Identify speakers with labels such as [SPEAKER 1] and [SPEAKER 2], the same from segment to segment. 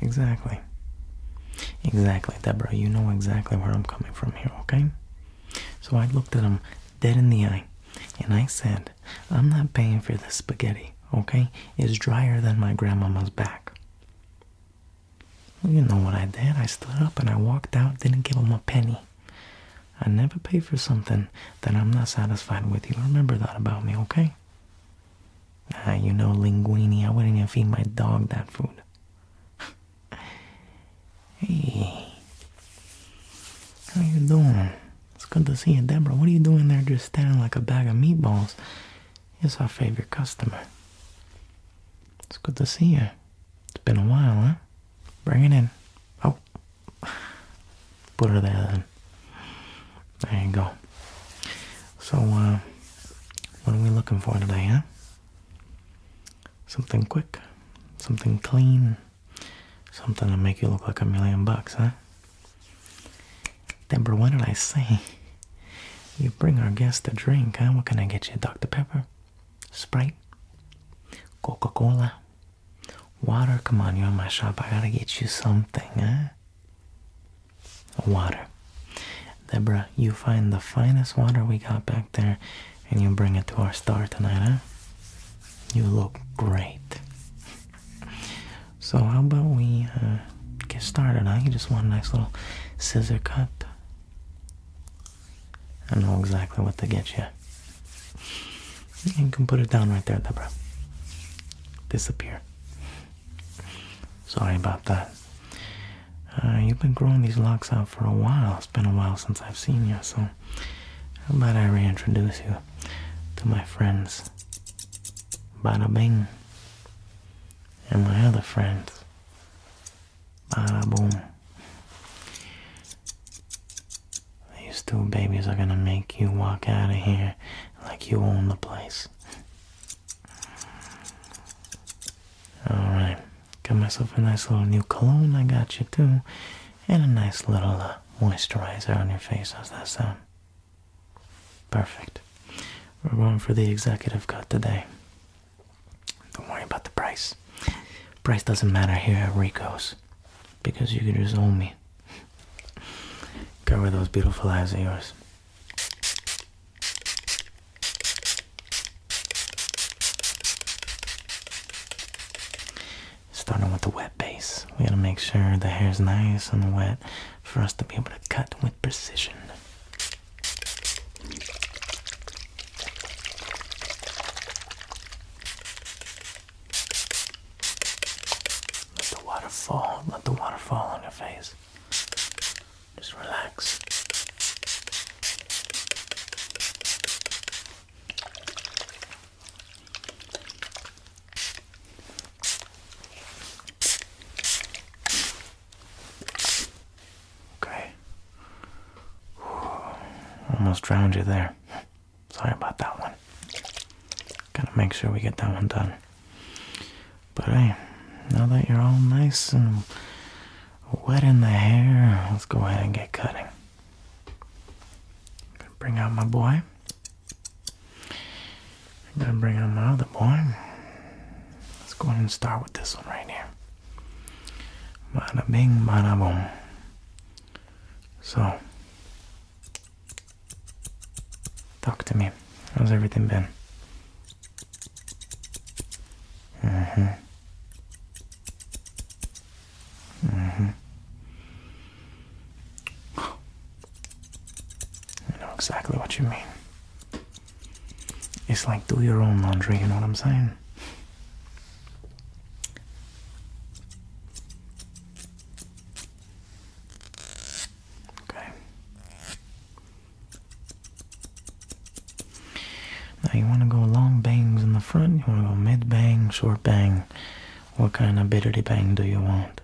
[SPEAKER 1] Exactly. Exactly, Debra. You know exactly where I'm coming from here, okay? So I looked at him dead in the eye and I said, I'm not paying for this spaghetti, okay? It's drier than my grandmama's back. you know what I did. I stood up and I walked out, didn't give him a penny. I never pay for something that I'm not satisfied with. You remember that about me, okay? Ah, you know, linguini, I wouldn't even feed my dog that food. hey, how you doing? It's good to see you, Deborah. What are you doing there just standing like a bag of meatballs? It's our favorite customer. It's good to see you. It's been a while, huh? Bring it in. Oh. Put her there then. There you go. So, uh, what are we looking for today, huh? Something quick, something clean, something to make you look like a million bucks, huh? Deborah, what did I say? You bring our guest a drink, huh? What can I get you? Dr. Pepper? Sprite? Coca-Cola? Water? Come on, you're in my shop. I gotta get you something, huh? water. Deborah, you find the finest water we got back there and you bring it to our star tonight, huh? You look great. So, how about we uh, get started, I just want a nice little scissor cut. I know exactly what to get you. You can put it down right there, Deborah. Disappear. Sorry about that. Uh, you've been growing these locks out for a while. It's been a while since I've seen you, so how about I reintroduce you to my friends? Bada Bing. And my other friends. Bada Boom. These two babies are gonna make you walk out of here like you own the place. Alright, got myself a nice little new cologne, I got you too, and a nice little uh, moisturizer on your face. How's that sound? Perfect. We're going for the executive cut today. Don't worry about the price. Price doesn't matter here at Rico's because you can just own me. Cover those beautiful eyes of yours. Starting with the wet base, we gotta make sure the hair's nice and wet for us to be able to cut with precision. Let the water fall, let the water fall on your face. Just relax. Okay. Almost drowned you there. Sorry about that one. Gotta make sure we get that one done. But hey, now that you're all nice and wet in the hair, let's go ahead and get cutting. gonna bring out my boy. gonna bring out my other boy. Let's go ahead and start with this one right here. Bada bing, So, Talk to me. How's everything been? Mm-hmm. Mm-hmm. I know exactly what you mean. It's like do your own laundry, you know what I'm saying? Okay. Now you want to go long bangs in the front, you want to go mid bang, short bang. What kind of bitterty bang do you want?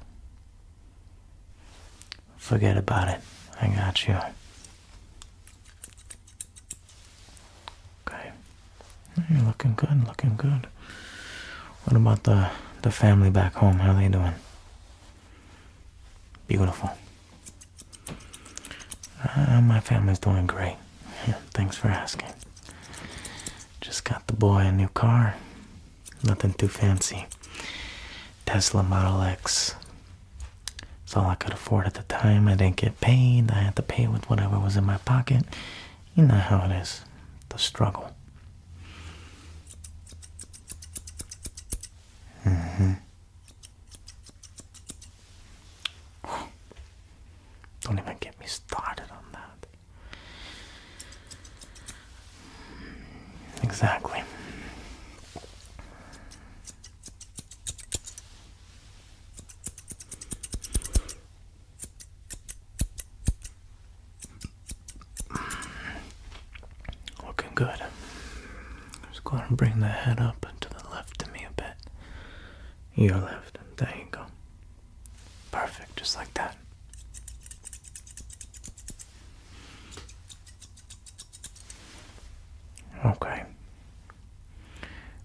[SPEAKER 1] Forget about it. I got you. Okay. You're mm, looking good, looking good. What about the the family back home? How are they doing? Beautiful. Uh, my family's doing great. thanks for asking. Just got the boy a new car. Nothing too fancy. Tesla Model X. It's all I could afford at the time. I didn't get paid. I had to pay with whatever was in my pocket. You know how it is. The struggle. Mm-hmm. Don't even get me started on that. Exactly. Looking good. Just going to bring the head up and to the left of me a bit. Your left. and There you go. Perfect, just like that. Okay.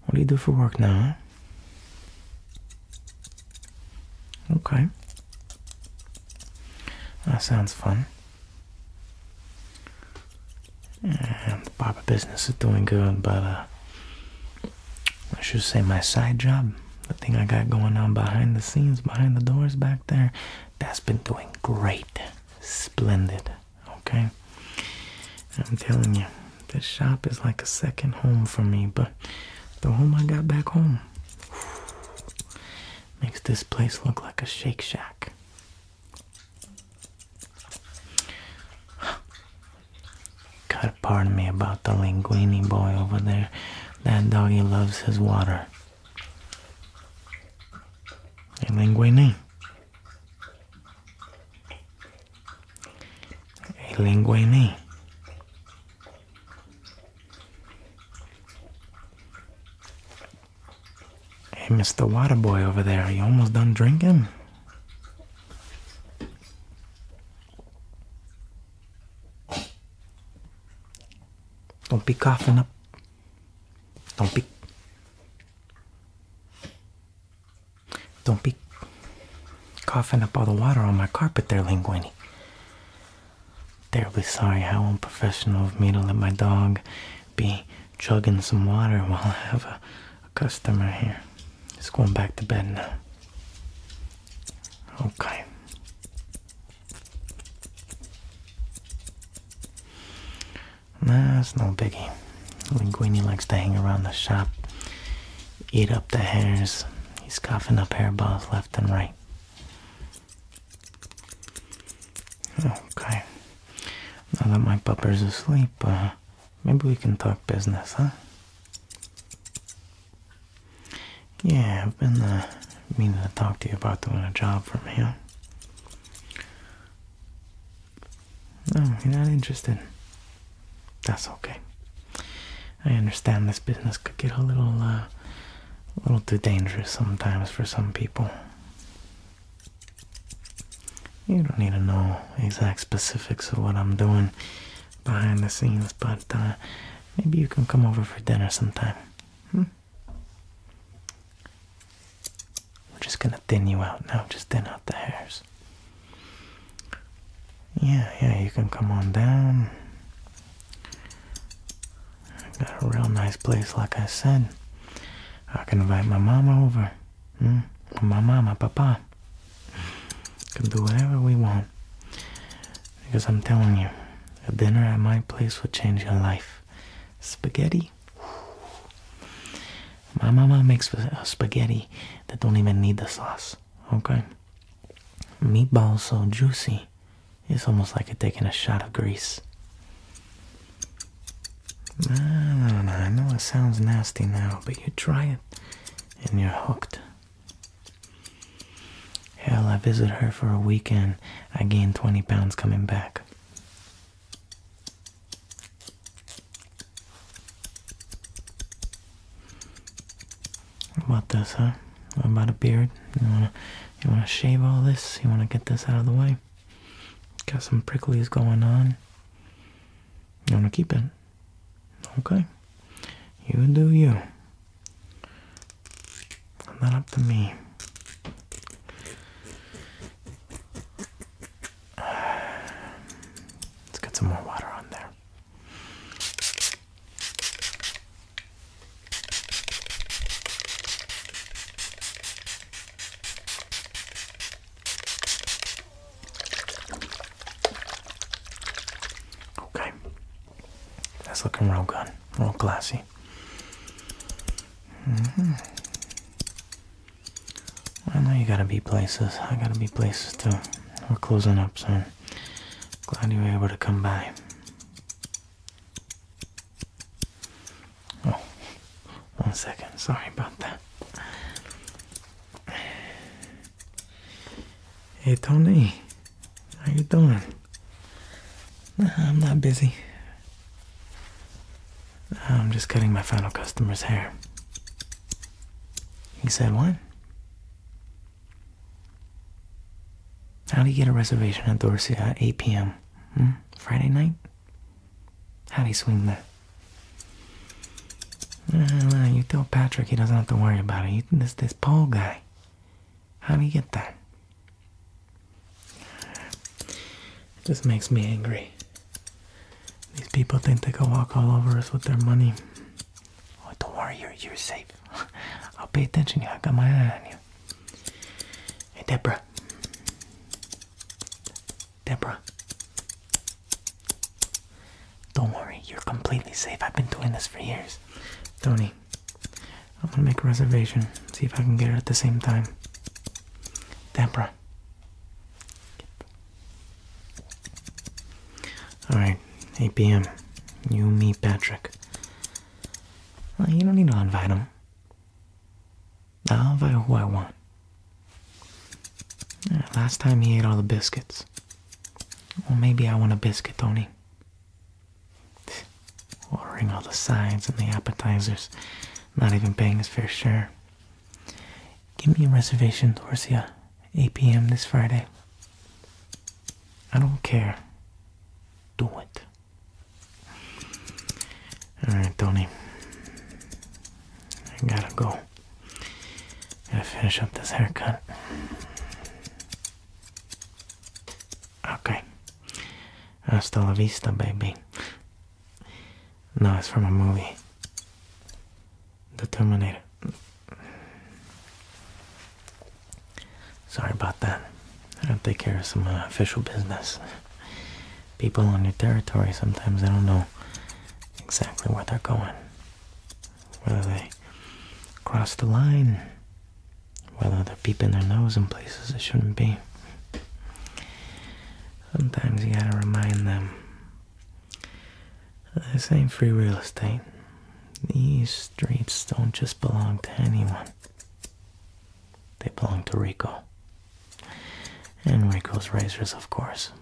[SPEAKER 1] What do you do for work now? Okay. That sounds fun the barber business is doing good, but uh, I should say my side job, the thing I got going on behind the scenes, behind the doors back there, that's been doing great, splendid. Okay, I'm telling you, this shop is like a second home for me. But the home I got back home, Makes this place look like a Shake Shack. Gotta pardon me about the linguini boy over there. That doggy loves his water. Hey, linguini. Hey, linguini. Hey, Mr. Water Boy over there, you almost done drinking? Don't be coughing up. Don't be. Don't be coughing up all the water on my carpet there, Linguini terribly sorry how unprofessional of me to let my dog be chugging some water while I have a, customer here. Just going back to bed now. Okay. That's nah, no biggie. When Linguini likes to hang around the shop, eat up the hairs. He's coughing up hairballs left and right. Okay. Now that my pupper's asleep, uh, maybe we can talk business, huh? Yeah, I've been uh, meaning to talk to you about doing a job for me. Huh? No, you're not interested. That's okay. I understand this business could get a little uh, a little too dangerous sometimes for some people. You don't need to know exact specifics of what I'm doing behind the scenes, but uh, maybe you can come over for dinner sometime. Hmm? We're just gonna thin you out now, just thin out the hairs. Yeah, yeah, you can come on down. I got a real nice place, like I said. I can invite my mama over. Hmm? My mama, papa. Can do whatever we want. Because I'm telling you, a dinner at my place will change your life. Spaghetti. My mama makes spaghetti that don't even need the sauce. Okay. Meatballs so juicy. It's almost like it taking a shot of grease. I know it sounds nasty now, but you try it and you're hooked. Hell, I visit her for a weekend. I gained 20 pounds coming back. about this, huh? about a beard? You want to shave all this? You want to get this out of the way? Got some pricklies going on. You want to keep it? Okay. You do you. Not up to me. Let's get some more water on there. Okay, that's looking real good, real glassy. Mm-hmm. I know you gotta be places. I gotta be places too. We're closing up soon. Glad you were able to come by. Oh, one second. Sorry about that. Hey Tony, how you doing? I'm not busy. I'm just cutting my final customer's hair. He said what? How do you get a reservation at Dorsey at 8 p.m.? Hmm, Friday night? How do you swing that? you tell Patrick he doesn't have to worry about it. You, this this Paul guy. How do you get that? It just makes me angry. These people think they can walk all over us with their money. Oh, don't worry, you're, safe. I'll pay attention. I got my eye on you here. Hey, Deborah. Deborah. Don't worry, you're completely safe. I've been doing this for years. Tony, I'm gonna make a reservation. See if I can get her at the same time. Debra, Alright, 8 p.m. You, meet Patrick. you don't need to invite him. I'll or who I want? last time he ate all the biscuits. Well, maybe I want a biscuit, Tony. Ordering all the sides and the appetizers. Not even paying his fair share. Give me a reservation, Dorcia. 8 p.m. this Friday. I don't care. Do it. Alright, Tony. I gotta go. Gotta finish up this haircut. Okay. Hasta la vista, baby. No, it's from a movie. The Terminator. Sorry about that. I have to take care of some uh, official business. People on your territory sometimes they don't know exactly where they're going. Whether they cross the line, whether they're peeping their nose in places they shouldn't be. Sometimes you gotta remind them this ain't free real estate. These streets don't just belong to anyone. They belong to Rico. And Rico's razors, of course.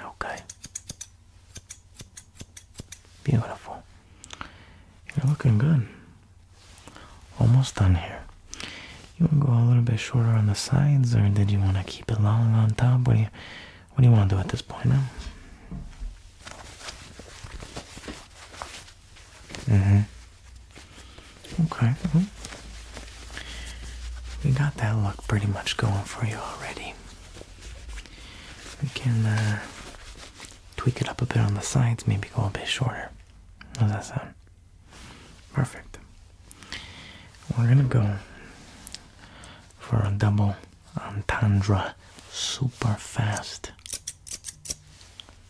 [SPEAKER 1] Okay. Beautiful. You're looking good. Almost done here. You want to go a little bit shorter on the sides, or did you want to keep it long on top? What you, what do you want to do at this point, man? Mm-hmm. Okay. We got that look pretty much going for you already. We can uh, tweak it up a bit on the sides, maybe go a bit shorter. How's that sound? Perfect. We're gonna go for a double tundra, super fast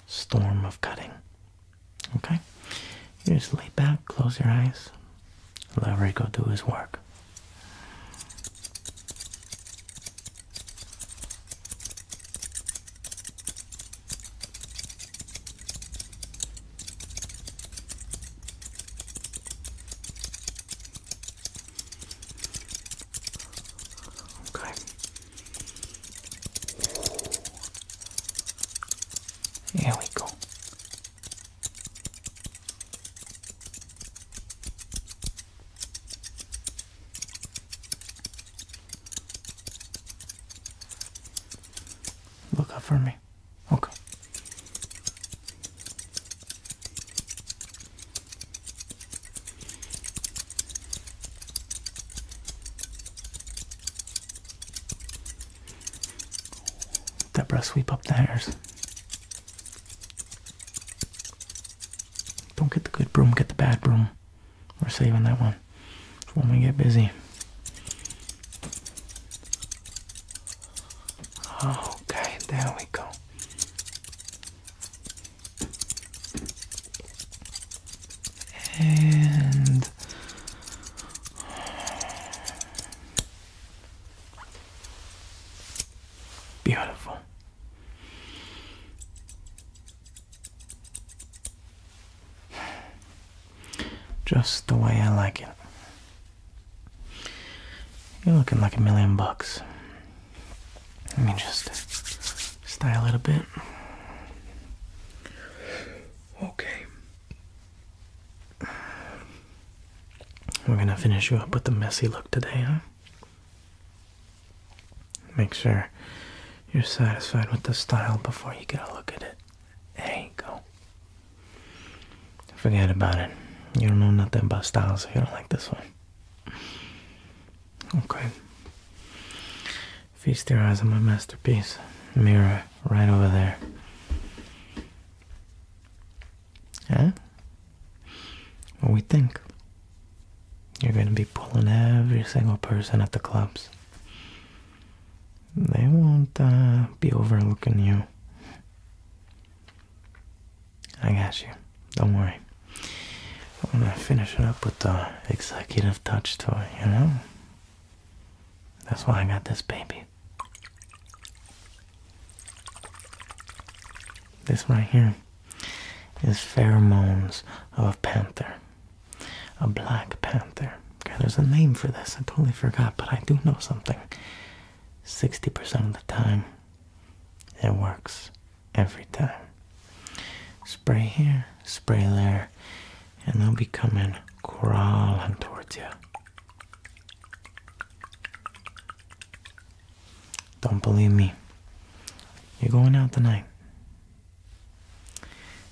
[SPEAKER 1] storm of cutting. Okay? You just lay back, close your eyes, let Rico do his work. Okay. Here we go. Look out for me. Okay. Deborah, sweep up the hairs. Don't get the good broom, get the bad broom. We're saving that one for when we get busy. Okay, there we go and beautiful. Just the way I like it. You're looking like a million bucks. Let me just style it a bit. Okay. We're gonna finish you up with the messy look today, huh? Make sure you're satisfied with the style before you get a look at it. There you go. Forget about it. You don't know nothing about styles if you don't like this one. Okay. Feast your eyes on my masterpiece. Mirror right over there. Huh? What we think? You're going to be pulling every single person at the clubs. They won't uh, be overlooking you. I got you. Don't worry. I'm gonna finish it up with the executive touch toy, you know? That's why I got this baby. This right here is pheromones of a panther. A black panther. Okay, there's a name for this. I totally forgot, but I do know something. 60% of the time, it works every time. Spray here, spray there, and they'll be coming crawling towards you. Don't believe me. You're going out tonight.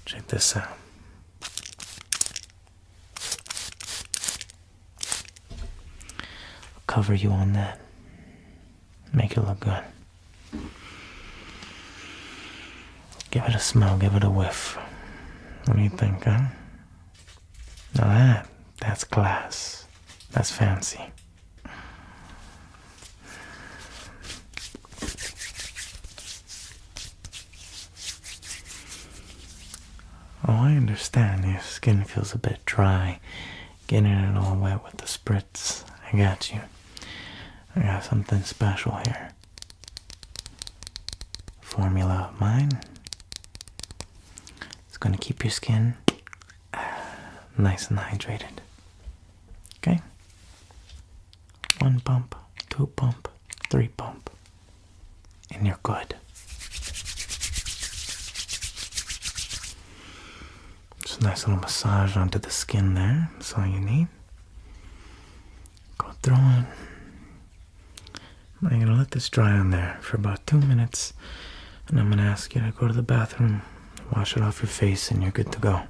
[SPEAKER 1] Check this out. cover you on that. Make it look good. Give it a smell, give it a whiff. What do you think, huh? Now that, that's class. That's fancy. Oh, I understand your skin feels a bit dry getting it all wet with the spritz. I got you. I got something special here. Formula of mine. It's going to keep your skin uh, nice and hydrated. Okay? One pump, two pump, three pump, and you're good. Just a nice little massage onto the skin there. That's all you need. Go through it. I'm going to let this dry on there for about two minutes. And I'm going to ask you to go to the bathroom, wash it off your face, and you're good to go.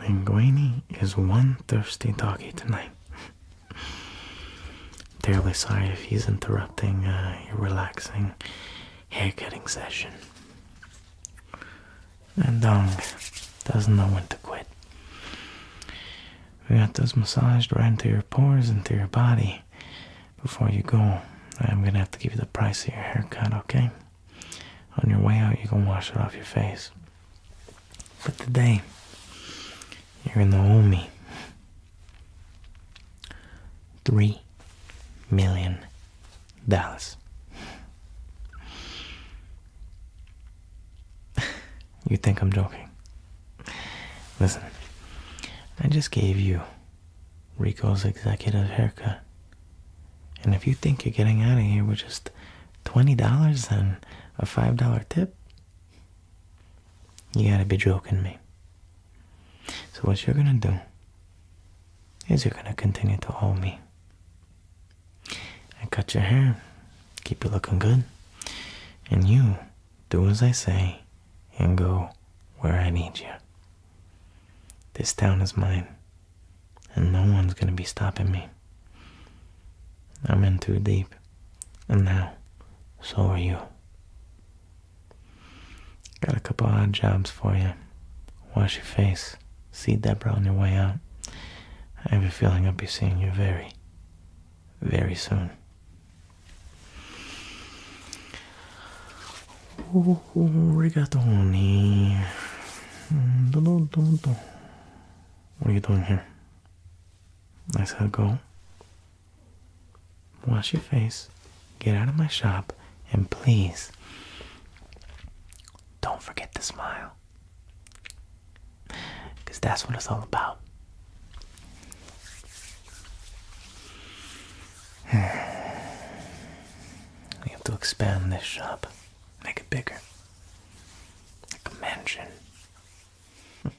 [SPEAKER 1] Linguini is one thirsty doggy tonight. Terribly sorry if he's interrupting uh, your relaxing haircutting session. And Dong doesn't know when to quit. We got those massaged right into your pores, into your body. Before you go, I'm gonna have to give you the price of your haircut, okay? On your way out, you can wash it off your face. But today, you're in the owe three million dollars. you think I'm joking? Listen, I just gave you Rico's executive haircut. And if you think you're getting out of here with just $20 and a $5 tip, you gotta be joking me. So, what you're gonna do is you're gonna continue to owe me. I cut your hair, keep you looking good, and you do as I say and go where I need you. This town is mine, and no one's gonna be stopping me. I'm in too deep. And now, so are you. Got a couple odd jobs for you. Wash your face. See Deborah on your way out. I have a feeling I'll be seeing you very, very soon. Oh, Rigatoni. Mm, what are you doing here? I said, Go. Wash your face. Get out of my shop. And please, don't forget to smile. Because that's what it's all about. We have to expand this shop, make it bigger, like a mansion.